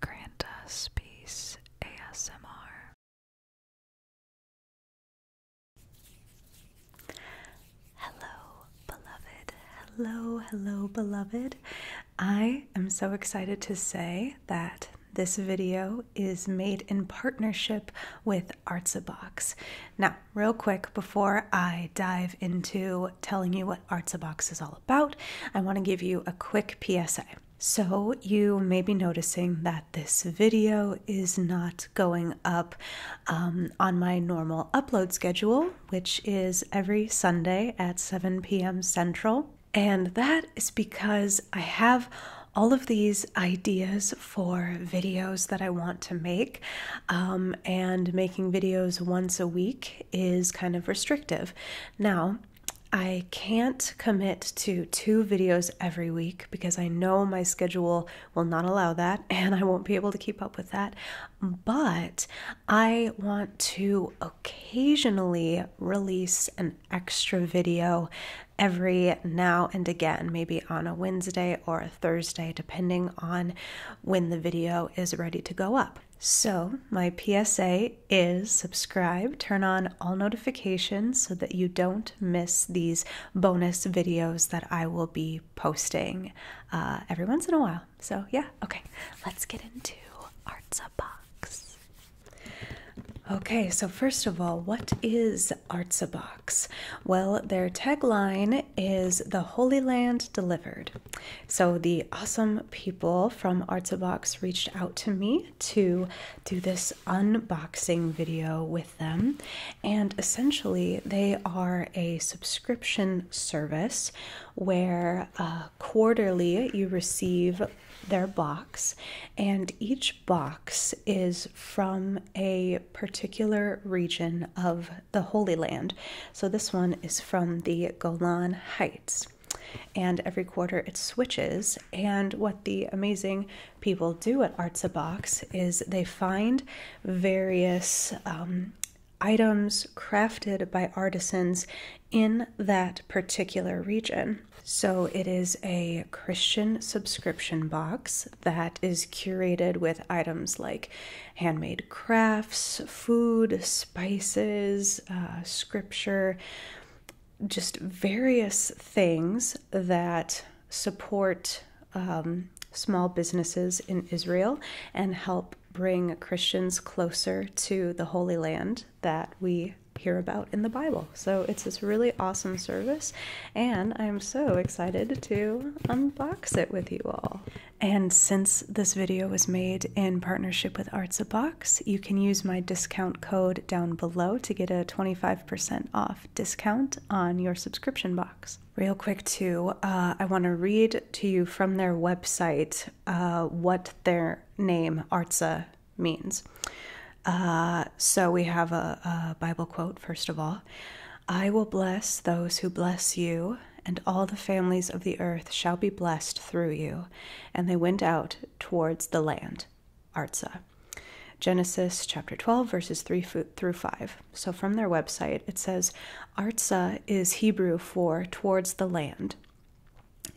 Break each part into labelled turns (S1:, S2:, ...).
S1: Grant us peace ASMR.
S2: Hello, beloved. Hello, hello, beloved. I am so excited to say that this video is made in partnership with Artsabox. Now, real quick before I dive into telling you what Artsabox is all about. I want to give you a quick PSA. So, you may be noticing that this video is not going up um, on my normal upload schedule, which is every Sunday at 7 p.m. Central. And that is because I have all of these ideas for videos that I want to make, um, and making videos once a week is kind of restrictive. Now, I can't commit to two videos every week because I know my schedule will not allow that and I won't be able to keep up with that. But I want to occasionally release an extra video every now and again, maybe on a Wednesday or a Thursday, depending on when the video is ready to go up. So, my PSA is subscribe, turn on all notifications so that you don't miss these bonus videos that I will be posting uh, every once in a while. So, yeah, okay, let's get into Arts Okay, so first of all, what is Arts Well, their tagline is the Holy Land Delivered. So the awesome people from Arts reached out to me to do this unboxing video with them, and essentially they are a subscription service where uh, quarterly you receive their box, and each box is from a particular region of the Holy Land. So this one is from the Golan Heights and every quarter it switches. And what the amazing people do at Arts Box is they find various um, items crafted by artisans in that particular region. So it is a Christian subscription box that is curated with items like handmade crafts, food, spices, uh, scripture, just various things that support um, small businesses in Israel and help bring Christians closer to the Holy Land that we hear about in the Bible. So it's this really awesome service, and I'm so excited to unbox it with you all. And since this video was made in partnership with Arts a Box, you can use my discount code down below to get a 25% off discount on your subscription box. Real quick, too, uh, I want to read to you from their website uh, what their name, Artsa, means. Uh, so we have a Bible quote, first of all I will bless those who bless you, and all the families of the earth shall be blessed through you. And they went out towards the land, Arza. Genesis chapter 12, verses 3 through 5. So from their website, it says Arza is Hebrew for towards the land.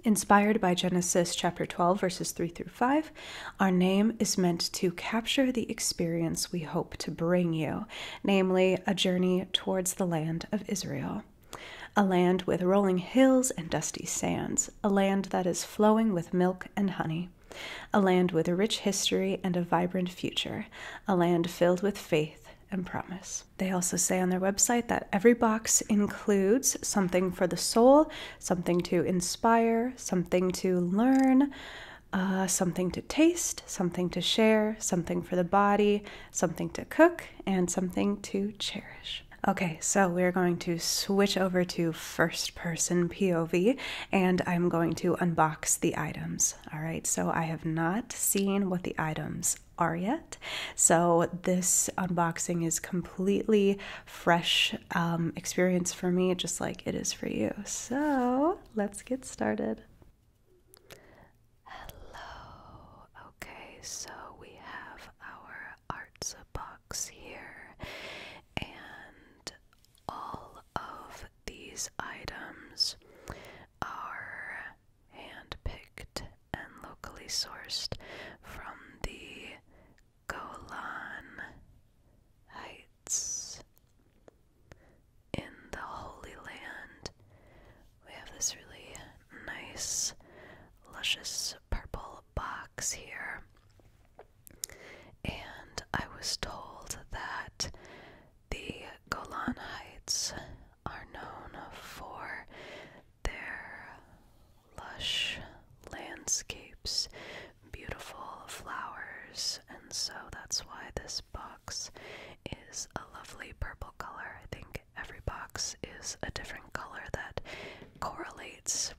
S2: Inspired by Genesis chapter 12, verses 3 through 5, our name is meant to capture the experience we hope to bring you, namely a journey towards the land of Israel a land with rolling hills and dusty sands, a land that is flowing with milk and honey, a land with a rich history and a vibrant future, a land filled with faith and promise. They also say on their website that every box includes something for the soul, something to inspire, something to learn. Uh, something to taste, something to share, something for the body, something to cook, and something to cherish. Okay, so we're going to switch over to first person POV and I'm going to unbox the items. All right, so I have not seen what the items are yet. So this unboxing is completely fresh um, experience for me, just like it is for you. So let's get started.
S1: Hello. Okay, so we have our arts box here, and all of these items are handpicked and locally sourced from the Golan Heights in the Holy Land. We have this really nice, luscious purple box here. And I was told that the Golan Heights are known for their lush landscapes, beautiful flowers, and so that's why this box is a lovely purple color. I think every box is a different color that correlates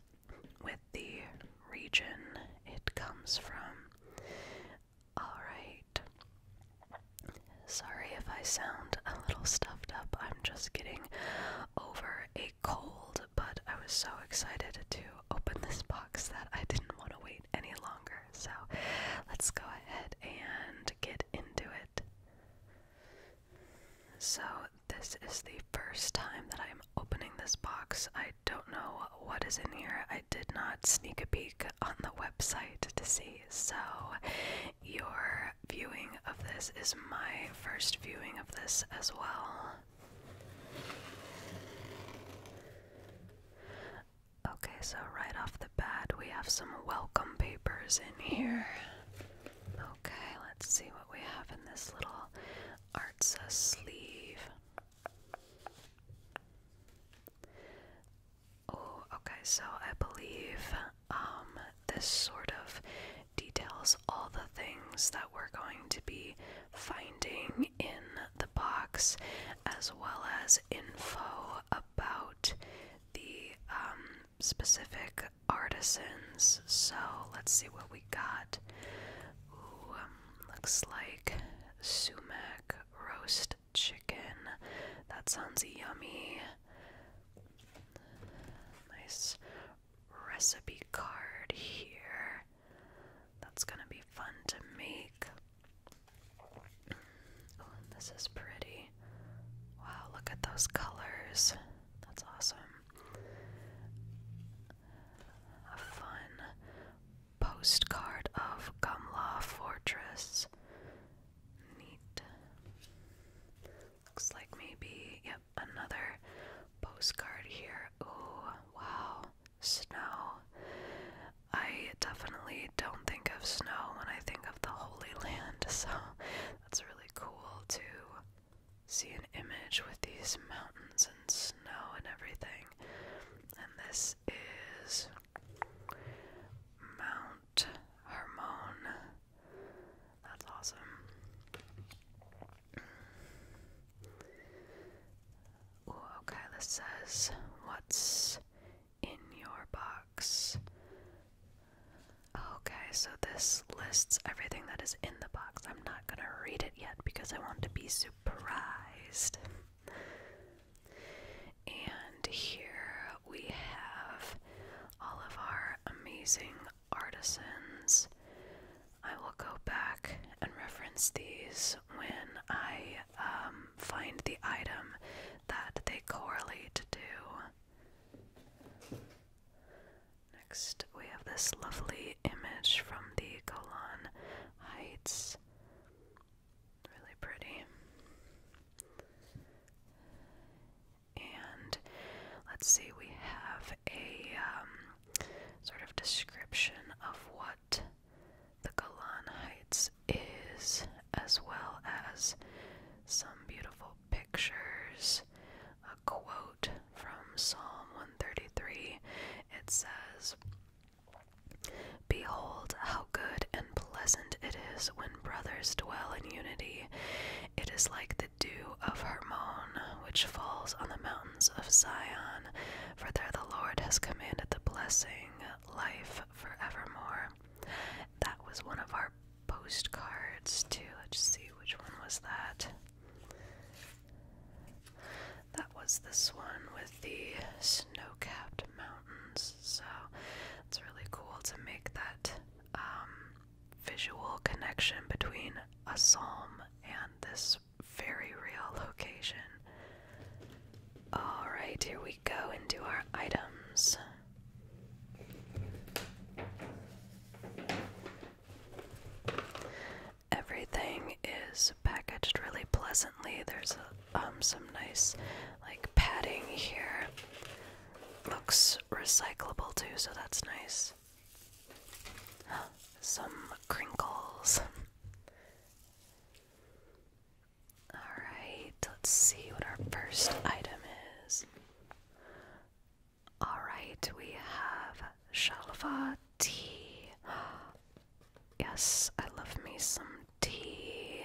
S1: with the region it comes from. Alright. Sorry if I sound a little stuffed up. I'm just getting over a cold, but I was so excited to open this box that I didn't want to wait any longer. So let's go ahead and get into it. So, this is the first time that I'm opening this box. I don't know what is in here. I did not sneak a peek on the website to see. So, your viewing of this is my first viewing of this as well. Okay, so right off the bat, we have some welcome papers in here. Okay, let's see what we have in this little Artsa sleeve. Oh, okay, so I believe um, this sort of details all the things that we're going to be finding in the box, as well as info about the um, specific artisans. So let's see what we got. Ooh, um, looks like sumac roast chicken. That sounds yummy. Nice recipe card here. That's gonna be fun to make. Oh, this is pretty. Wow, look at those colors. That's awesome. A fun postcard of Gumla Fortress. Neat. Looks like maybe, yep, another postcard here. Oh wow. Snow. I definitely I don't think of snow when I think of the Holy Land, so that's really cool to see an image with these mountains and snow and everything. And this is Mount Hermon. That's awesome. okay, this says, What's in your box. Okay, so this lists everything that is in the box. I'm not going to read it yet because I want to be surprised. And here we have all of our amazing artisans. I will go back and reference these when I um, find the item that they correlate to Next, we have this lovely image from the Golan Heights. Really pretty. And let's see, we have a um, sort of description of what the Golan Heights is, as well as some beautiful pictures. A quote from Psalm 133 it says, Behold, how good and pleasant it is when brothers dwell in unity. It is like the dew of Hermon, which falls on the mountains of Zion, for there the Lord has commanded the blessing, life forevermore. That was one of our postcards too. Let's see which one was that. That was this one with the snow capped mountains. So it's really cool to make that um, visual connection between a psalm and this very real location. Alright, here we go into our items. Everything is packaged really pleasantly. There's um, some nice like padding here. Looks recyclable too, so that's nice. Some crinkles. Alright, let's see what our first item is. Alright, we have Shalva tea. Yes, I love me some tea.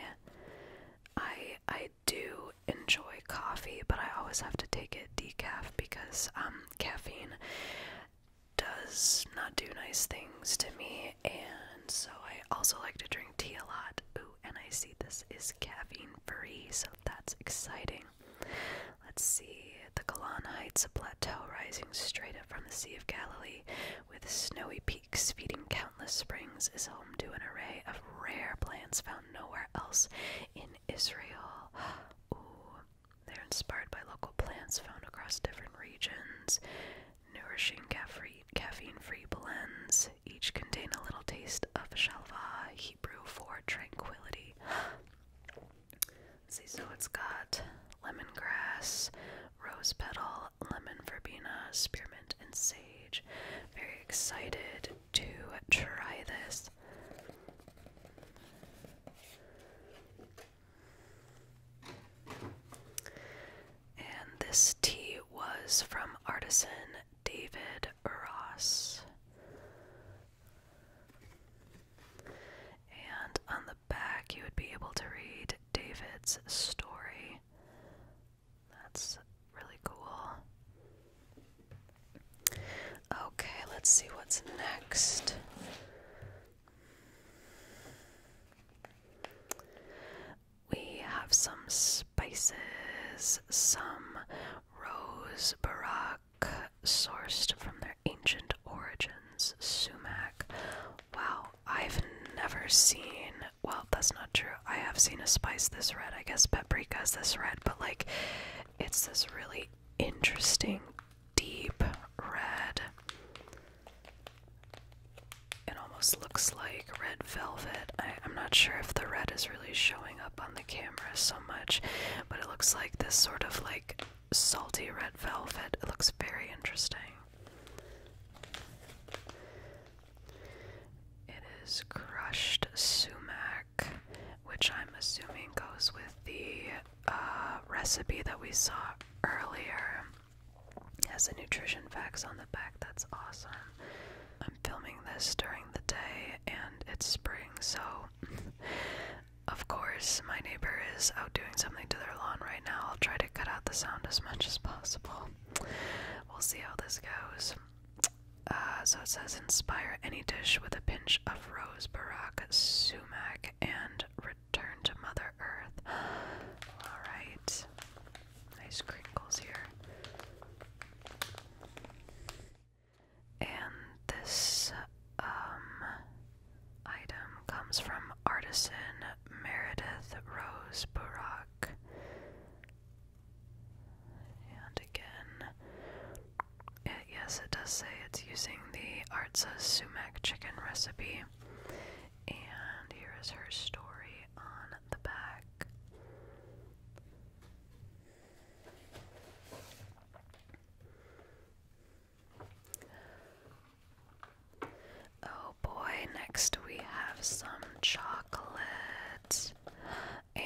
S1: I I do enjoy coffee, but I always have to take it decaf because um caffeine does not do nice things to me and so I also like to drink tea a lot. Ooh, and I see this is caffeine free, so that's exciting. Let's see. The Golan Heights, a plateau rising straight up from the Sea of Galilee with snowy peaks feeding countless springs, is home to an array of rare plants found nowhere else in Israel. Ooh, they're inspired by local plants found across different regions. Nourishing caffeine caffeine-free blends. Each contain a little taste of shalva, Hebrew for tranquility. See, so it's got lemongrass, rose petal, lemon verbena, spearmint, and sage. Very excited to try this. And this tea was from Artisan David Ross. And on the back, you would be able to read David's story. That's really cool. Okay, let's see what's next we have some spices, some rose barak sourced from their ancient origins, sumac. Wow, I've never seen. Well, that's not true. I have seen a spice this red. I guess paprika is this red, but like it's this really interesting deep red it almost looks like red velvet. I, am not sure if the red is really showing up on the camera so much, but it looks like this sort of like salty red velvet. It looks very interesting. It is crushed sumac, which I'm assuming goes with the uh, recipe that we saw earlier. has the nutrition facts on the back. That's awesome. I'm filming this during the day and it's spring, so of course my neighbor is out doing something to their lawn right now. I'll try to cut out the sound as much as possible. We'll see how this goes. Uh, so it says inspire any dish with a pinch of rose, barak, sumac, and return to Mother Earth. All right nice crinkles here. And this um, item comes from artisan Meredith Rose Burak. And again, it, yes, it does say it's using the Artsa sumac chicken recipe. And here is her story on the back. Oh boy, next we have some chocolate. And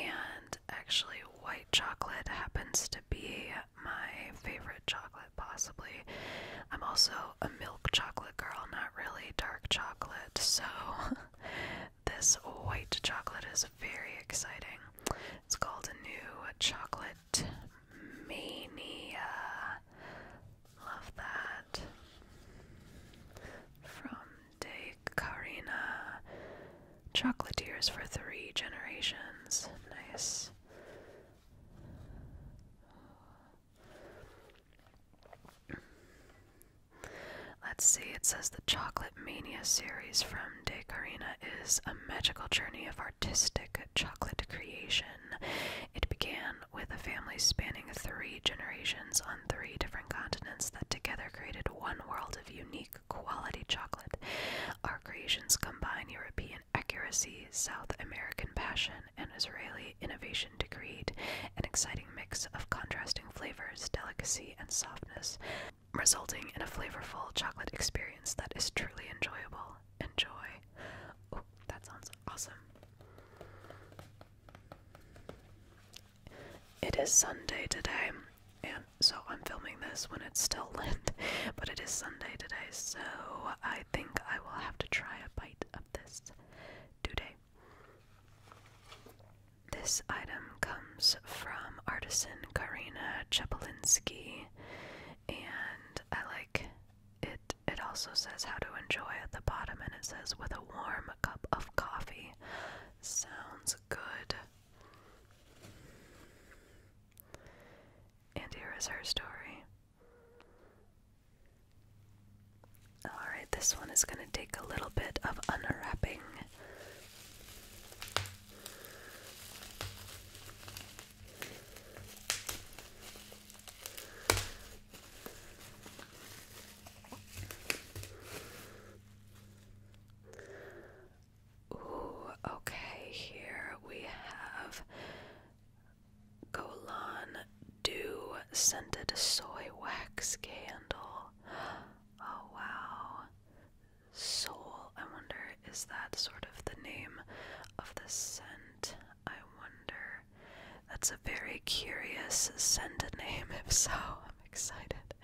S1: actually, white chocolate happens to be my favorite chocolate, possibly. I'm also a milk chocolate girl, not really dark chocolate, so This white chocolate is very exciting. It's called a new chocolate mania. Love that. From De Carina. Chocolatiers for three generations. Nice. Let's see, it says the Chocolate Mania series from De Carina is a magical journey of artistic chocolate creation. It began with a family spanning three generations on three different continents that together created one world of unique quality chocolate. Our creations combine European accuracy, South American passion, an Israeli innovation to create an exciting mix of contrasting flavors, delicacy, and softness, resulting in a flavorful chocolate experience that is truly enjoyable. Enjoy. that sounds awesome. It is Sunday today, and so I'm filming this when it's still lit, but it is Sunday today, so I think I will have to try a bite of this do-day. This item comes from artisan Karina Chapolinsky, and I like it. It also says how to enjoy at the bottom, and it says with a warm cup of coffee. Sounds good. And here is her story. Alright, this one is going to take a little bit of unwrapping. Ooh, okay, here we have Golan dew scented soy wax candle. Oh wow. Soul. I wonder, is that sort of the name of the scent? I wonder. That's a very curious scent name, if so. I'm excited.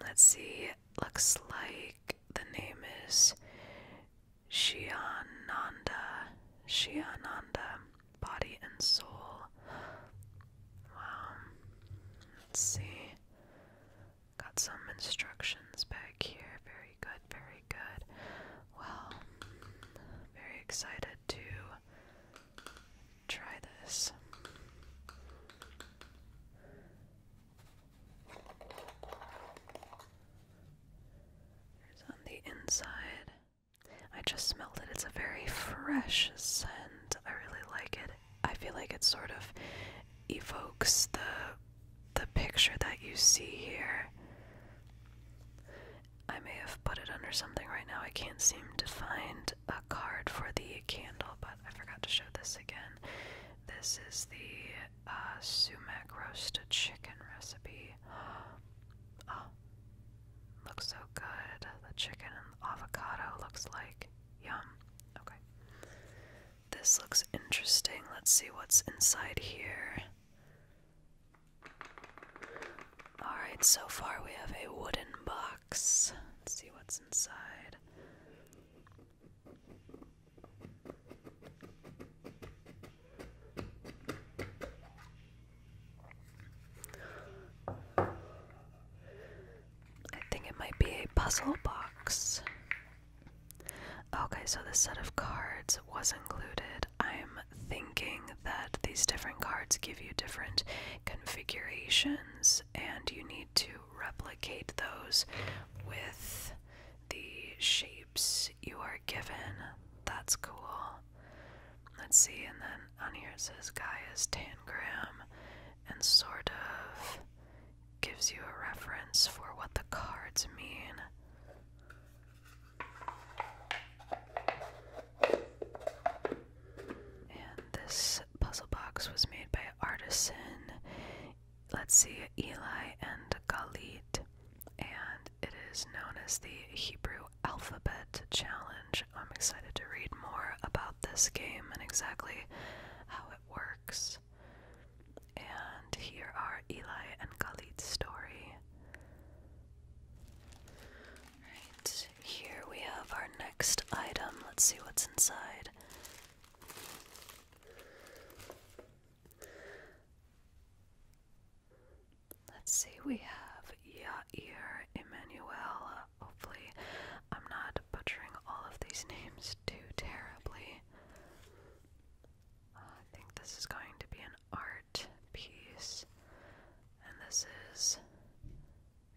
S1: Let's see. Looks like the name is Shiananda. Shiananda body and soul. Wow. Let's see. Got some instructions back here. Very good, very good. Well, very excited to try this. There's on the inside. I just smelled it. It's a very fresh scent. I really like it. I feel like it sort of evokes the the picture that you see here. I may have put it under something right now. I can't seem to find a card for the candle, but I forgot to show this again. This is the uh, sumac roasted chicken recipe. Oh, Looks so good. The chicken and avocado looks like yum. Okay. This looks interesting. Let's see what's inside here. Alright, so far we have a wooden box. Let's see what's inside. I think it might be a puzzle box. Okay, so this set of cards was included. I'm thinking that these different cards give you different configurations, and you need to replicate those with the shapes you are given. That's cool. Let's see, and then on here it says Gaia's tangram and sort of gives you a reference for what the cards mean. And this puzzle box was made by Artisan, let's see, Eli and Galit. And it is known as the Hebrew Alphabet Challenge. I'm excited to read more about this game and exactly how it works. And here are Eli and Khalid's story. Right, here we have our next item. Let's see what's inside. Let's see, we have Yair Emmanuel. Hopefully, I'm not butchering all of these names too terribly. Uh, I think this is going to be an art piece, and this is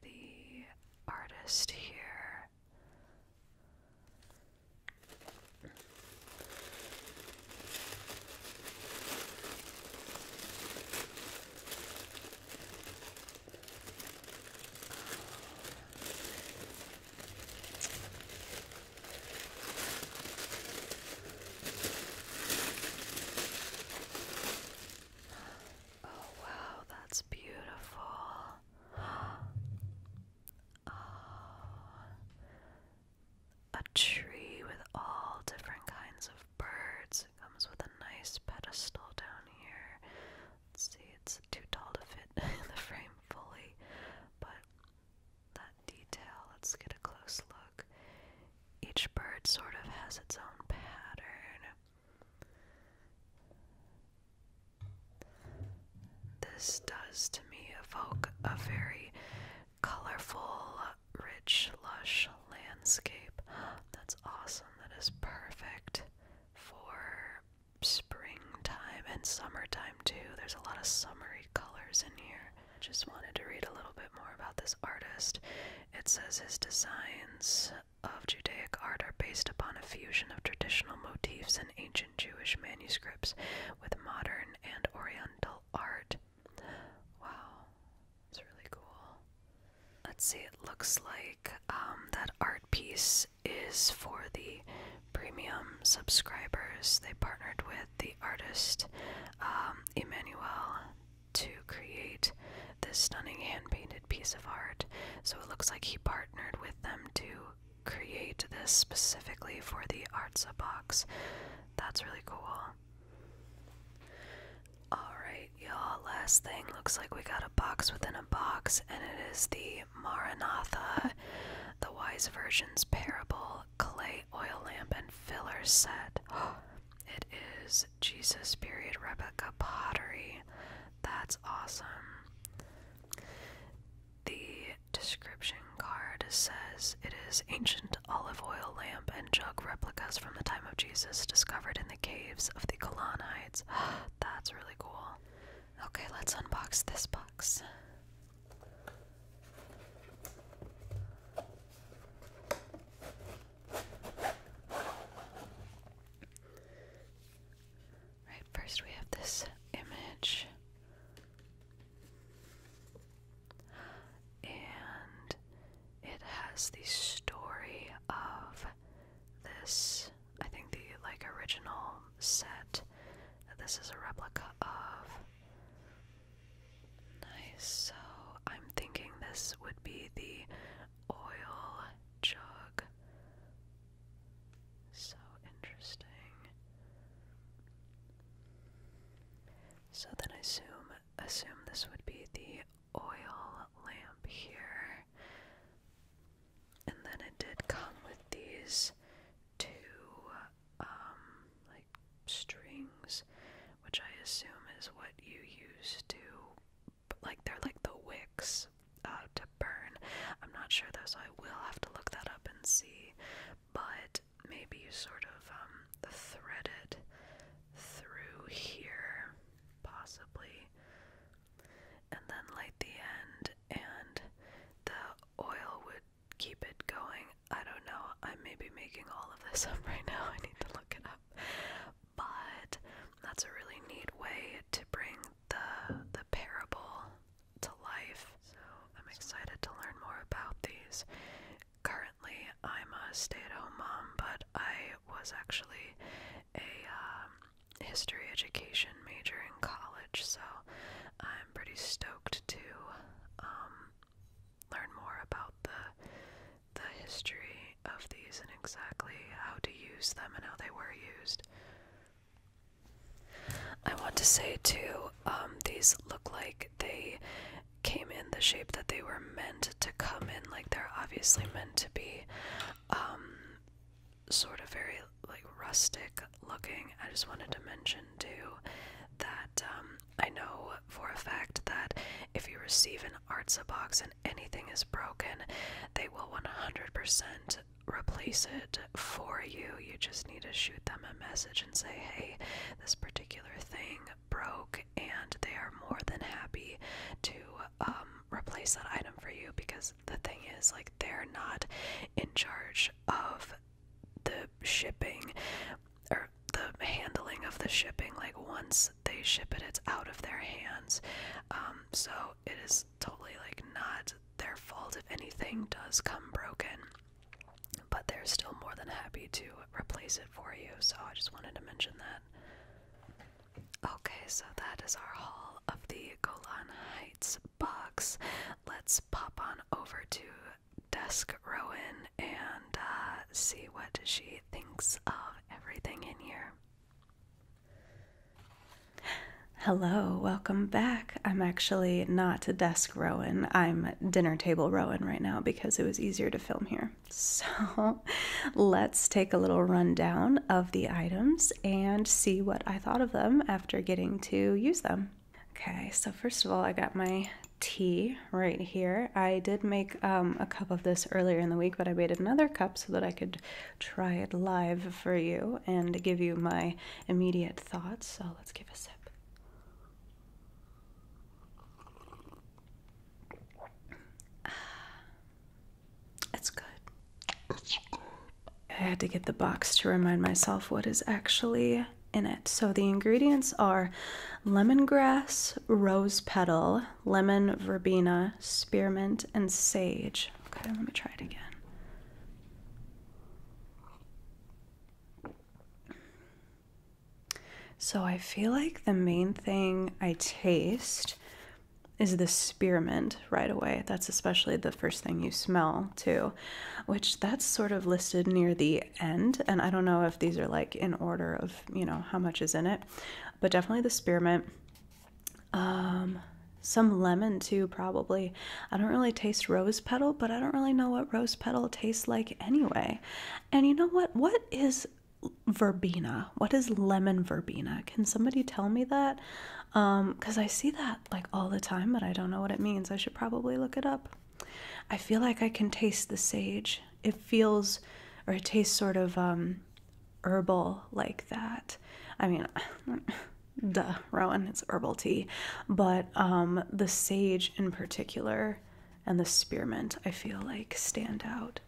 S1: the artist here. Oh, wow, that's beautiful. Ah a tree with all different kinds of birds. It comes with a nice pedestal down here. Let's see, it's too tall to fit in the frame fully, but that detail, let's get a close look. Each bird sort of has its own pattern. This does to me evoke a very colorful, rich, lush landscape. That's awesome. That is perfect for springtime and summertime, too. There's a lot of summery colors in here. Just wanted to read a little bit more about this artist. It says his designs of Judaic art are based upon a fusion of traditional motifs and ancient Jewish manuscripts with modern and oriental art. Wow, it's really cool. Let's see, it looks like um, that art piece is for the premium subscribers. They partnered with the artist um, Emmanuel to create this stunning hand painted piece of art. So it looks like he partnered with them to create this specifically for the Artsa box. That's really cool. Alright, y'all, last thing. Looks like we got a box within a box, and it is the Maranatha, the Wise Virgin's Parable, Clay Oil Lamp and Filler Set. It is Jesus period Rebecca pottery. That's awesome. The description card says it is ancient olive oil lamp and jug replicas from the time of Jesus discovered in the caves of the Golan That's really cool. Okay, let's unbox this box. Right, first we have this image. And it has the story of this I think the like original set this is a replica of nice so I'm thinking this would be the oil jug so interesting so then I assume assume this would be the oil lamp here. And then it did come with these two um, like strings, which I assume is what you use to like they're like the wicks uh, to burn. I'm not sure though, so I will have to look that up and see. But maybe sort of um, thread it through here, possibly, and then light the end, and the oil would keep it going. I don't know, I may be making all of this up right now, I need to look it up. But that's a really neat way to bring the the parable to life. So I'm excited to learn more about these currently I'm a stay-at-home mom, but I was actually a um, history education major in college, so I'm pretty stoked to um, learn more about the the history of these and exactly how to use them and how they were used. I want to say too, um, these look like they came in the shape that they were meant to come in. Like they're obviously meant to be um, sort of very like rustic looking. I just wanted to mention too that um, I know for a fact that if you receive an Artsa box and anything is broken, they will 100% replace it for you. You just need to shoot them a message and say, hey, this particular thing broke and they are more than happy to um, replace that item for you because the thing is like they're not in charge of the shipping or the handling of the shipping like once they ship it it's out of their hands um, so it is totally like not their fault if anything does come broken but they're still more than happy to replace it for you, so I just wanted to mention that. Okay, so that is our haul of the Golan Heights box. Let's pop on over to Desk Rowan and uh, see what she thinks of everything in here.
S2: Hello, welcome back. I'm actually not Desk Rowan. I'm dinner table Rowan right now because it was easier to film here. So let's take a little rundown of the items and see what I thought of them after getting to use them. Okay, so first of all, I got my tea right here. I did make um, a cup of this earlier in the week, but I made another cup so that I could try it live for you and give you my immediate thoughts. So let's give a sip. It's good. I had to get the box to remind myself what is actually in it. So the ingredients are lemongrass, rose petal, lemon verbena, spearmint, and sage. Okay, let me try it again. So I feel like the main thing I taste is the spearmint right away. That's especially the first thing you smell, too, which that's sort of listed near the end. And I don't know if these are like in order of, you know, how much is in it, but definitely the spearmint. Um, some lemon too, probably. I don't really taste rose petal, but I don't really know what rose petal tastes like anyway. And you know what? What is verbena? What is lemon verbena? Can somebody tell me that? Um, cuz I see that like all the time, but I don't know what it means. I should probably look it up. I feel like I can taste the sage. It feels or it tastes sort of um herbal like that. I mean, duh, Rowan, it's herbal tea, but um the sage in particular and the spearmint, I feel like, stand out.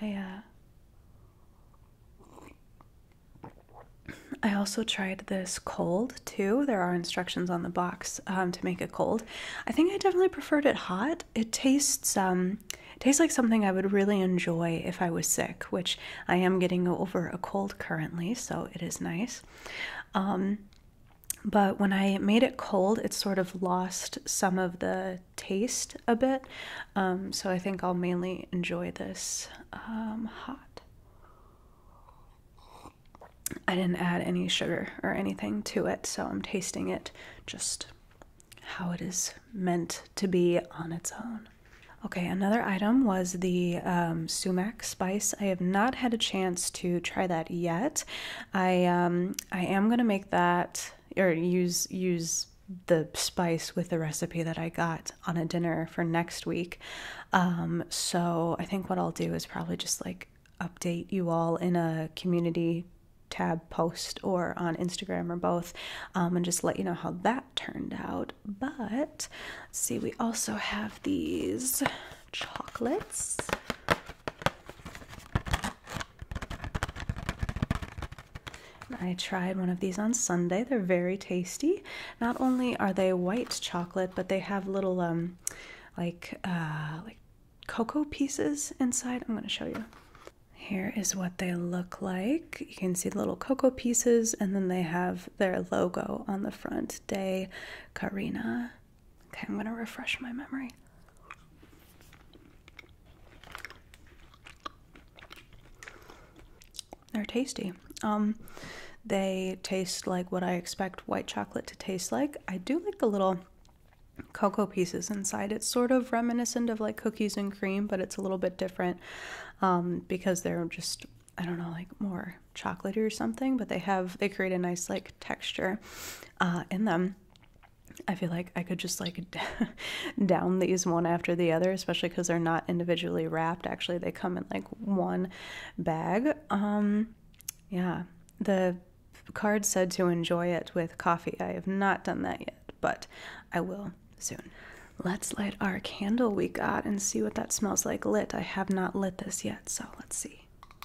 S2: I uh, I also tried this cold too. There are instructions on the box um, to make it cold. I think I definitely preferred it hot. It tastes um, tastes like something I would really enjoy if I was sick, which I am getting over a cold currently, so it is nice. Um, but when I made it cold, it sort of lost some of the taste a bit. Um, so I think I'll mainly enjoy this um, hot. I didn't add any sugar or anything to it, so I'm tasting it just how it is meant to be on its own. Okay, another item was the um, sumac spice. I have not had a chance to try that yet. I um, I am gonna make that or use use the spice with the recipe that I got on a dinner for next week. Um, so I think what I'll do is probably just like update you all in a community tab post or on Instagram or both um, and just let you know how that turned out. But see, we also have these chocolates. I tried one of these on Sunday. They're very tasty. Not only are they white chocolate, but they have little um like uh like cocoa pieces inside. I'm going to show you. Here is what they look like. You can see the little cocoa pieces and then they have their logo on the front. Day, Carina. Okay, I'm going to refresh my memory. They're tasty. Um, they taste like what I expect white chocolate to taste like. I do like the little cocoa pieces inside. It's sort of reminiscent of like cookies and cream, but it's a little bit different um, because they're just, I don't know, like more they chocolatey or something, but they have they create a nice like texture uh, in them. I feel like I could just like down these one after the other, especially because they're not individually wrapped. Actually, they come in like one bag. Um, yeah, the card said to enjoy it with coffee. I have not done that yet, but I will soon. Let's light our candle we got and see what that smells like lit. I have not lit this yet, so let's see.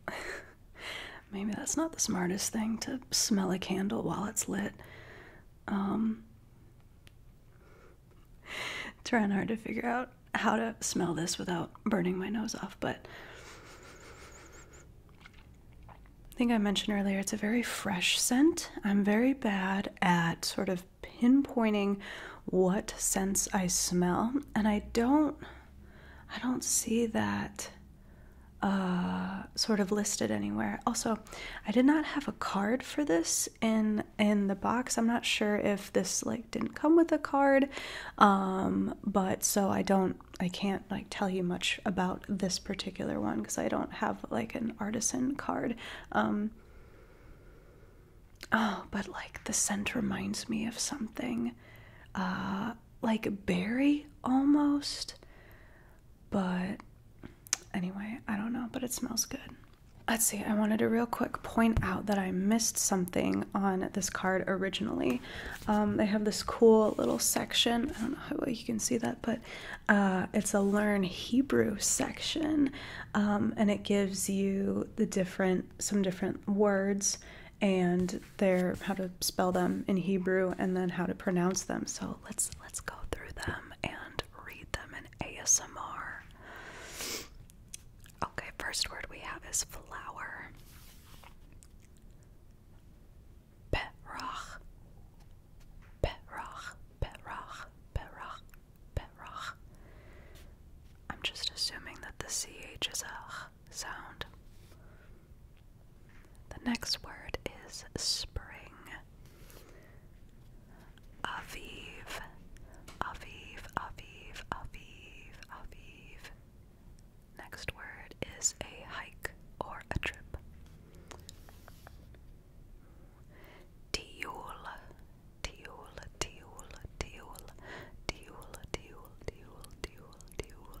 S2: Maybe that's not the smartest thing to smell a candle while it's lit. Um, trying hard to figure out how to smell this without burning my nose off, but I think I mentioned earlier it's a very fresh scent. I'm very bad at sort of pinpointing what sense I smell, and I don't I don't see that uh, sort of listed anywhere. Also, I did not have a card for this in in the box. I'm not sure if this like didn't come with a card, um, but so I don't, I can't like tell you much about this particular one because I don't have like an artisan card. Um, oh, but like the scent reminds me of something. Uh, like berry almost. But anyway, I don't know, but it smells good. Let's see, I wanted to real quick point out that I missed something on this card originally. Um, they have this cool little section. I don't know how well you can see that, but uh, it's a Learn Hebrew section. Um, and it gives you the different, some different words and their how to spell them in Hebrew and then how to pronounce them. So let's let's go through them and
S1: read them in ASMR. Okay, first word we have is flower. Perach. Perach. Perach. Perach. Perach. I'm just assuming that the CH is a sound. The next word is spring. Aviv, Aviv, Aviv, Aviv, Aviv. Next word is a hike or a trip. Tiul, tiul, tiul, tiul, tiul, tiul, tiul, tiul, tiul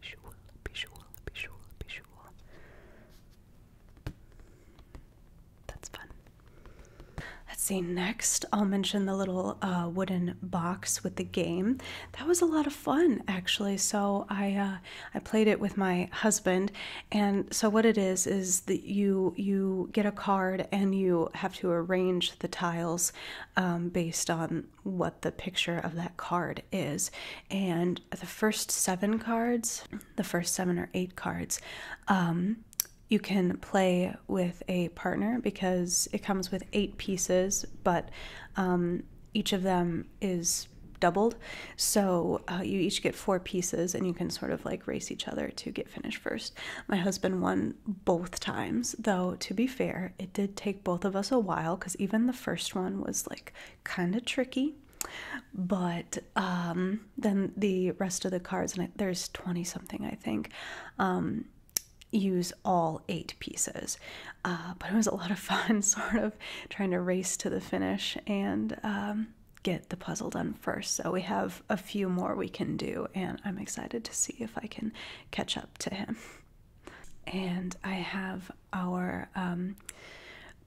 S1: visual, visual, visual, visual, visual.
S2: That's fun. Let's see, next I'll mention the little uh, wooden box with the game. That was a lot of fun, actually. So I uh, I played it with my husband, and so what it is is that you you get a card and you have to arrange the tiles um, based on what the picture of that card is and the first seven cards, the first seven or eight cards, um, you can play with a partner because it comes with eight pieces, but um, each of them is doubled. So uh, you each get four pieces and you can sort of like race each other to get finished first. My husband won both times, though, to be fair, it did take both of us a while because even the first one was like kind of tricky. But um, then the rest of the cards, and there's 20 something, I think, um, use all eight pieces. Uh, but it was a lot of fun, sort of trying to race to the finish and um, get the puzzle done first. So we have a few more we can do, and I'm excited to see if I can catch up to him. And I have our um,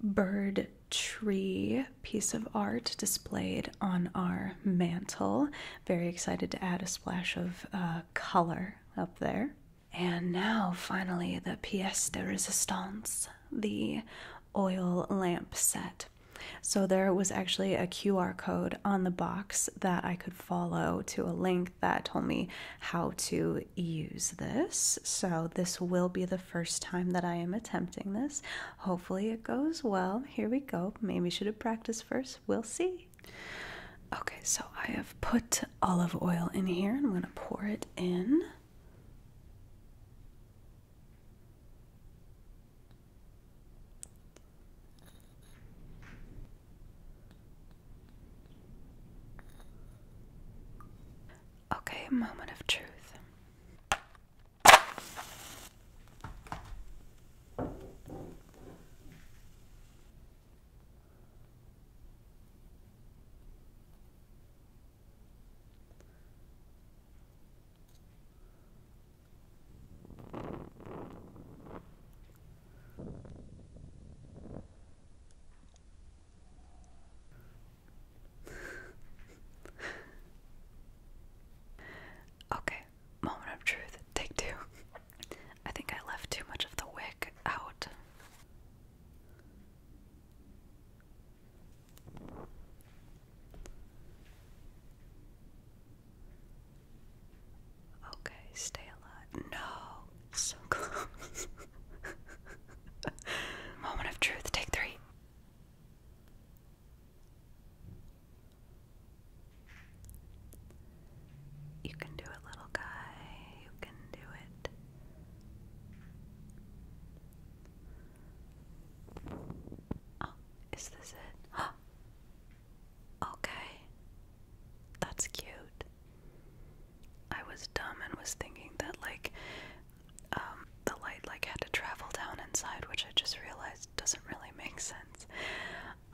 S2: bird tree piece of art displayed on our mantle. Very excited to add a splash of uh, color up there. And now, finally, the pièce de résistance, the oil lamp set. So, there was actually a QR code on the box that I could follow to a link that told me how to use this, so this will be the first time that I am attempting this. Hopefully, it goes well. Here we go. Maybe should have practiced first. We'll see. Okay, so I have put olive oil in here and I'm going to pour it in. Okay, moment of truth.
S1: okay, moment of truth, take two. I think I left too much of the wick out. Okay, stay alive. No, so close. Moment of truth, take three. You can do it, little guy. You can do it. Oh, is this it? Okay. That's cute. I was dumb and was thinking that like um, the light like had to travel down inside, which I just realized doesn't really make sense.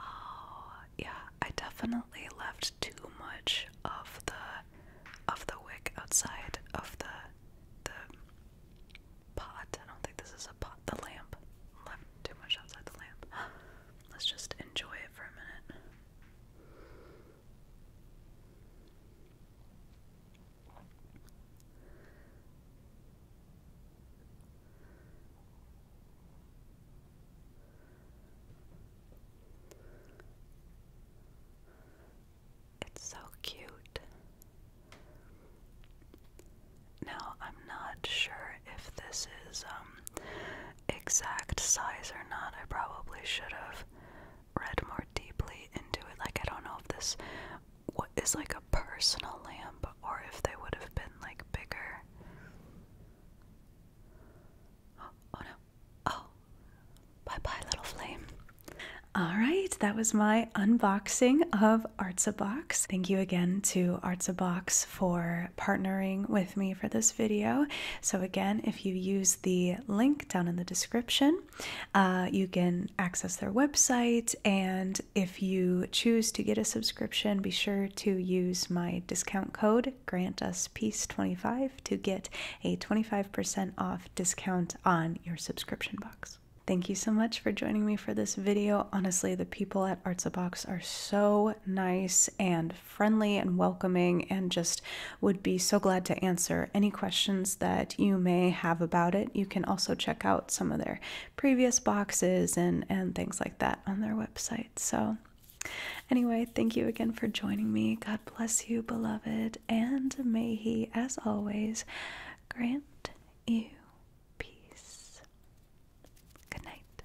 S1: Oh, yeah, I
S2: definitely
S1: left too much of the of the wick outside of the the pot. I don't think this is a pot. The lamp left too much outside the lamp. Let's just enjoy it for a minute. It's so cute. Now, I'm not sure if this is um, exact size or not. I probably should have read more deeply into it. Like, I don't know if this what is like a personal lamp or if they would have been like bigger.
S2: Oh, oh Bye bye, little flame. All right, that was my unboxing of Artsabox. Thank you again to Artsabox for partnering with me for this video. So, again, if you use the link down in the description, uh, you can access their website. And if you choose to get a subscription, be sure to use my discount code GrantUsPeace25 to get a 25% off discount on your subscription box. Thank you so much for joining me for this video. Honestly, the people at Arts are so nice and friendly and welcoming and just would be so glad to answer any questions that you may have about it. You can also check out some of their previous boxes and, and things like that on their website. So, anyway, thank you again for joining me. God bless you, beloved, and may He, as always, grant you peace. Good night.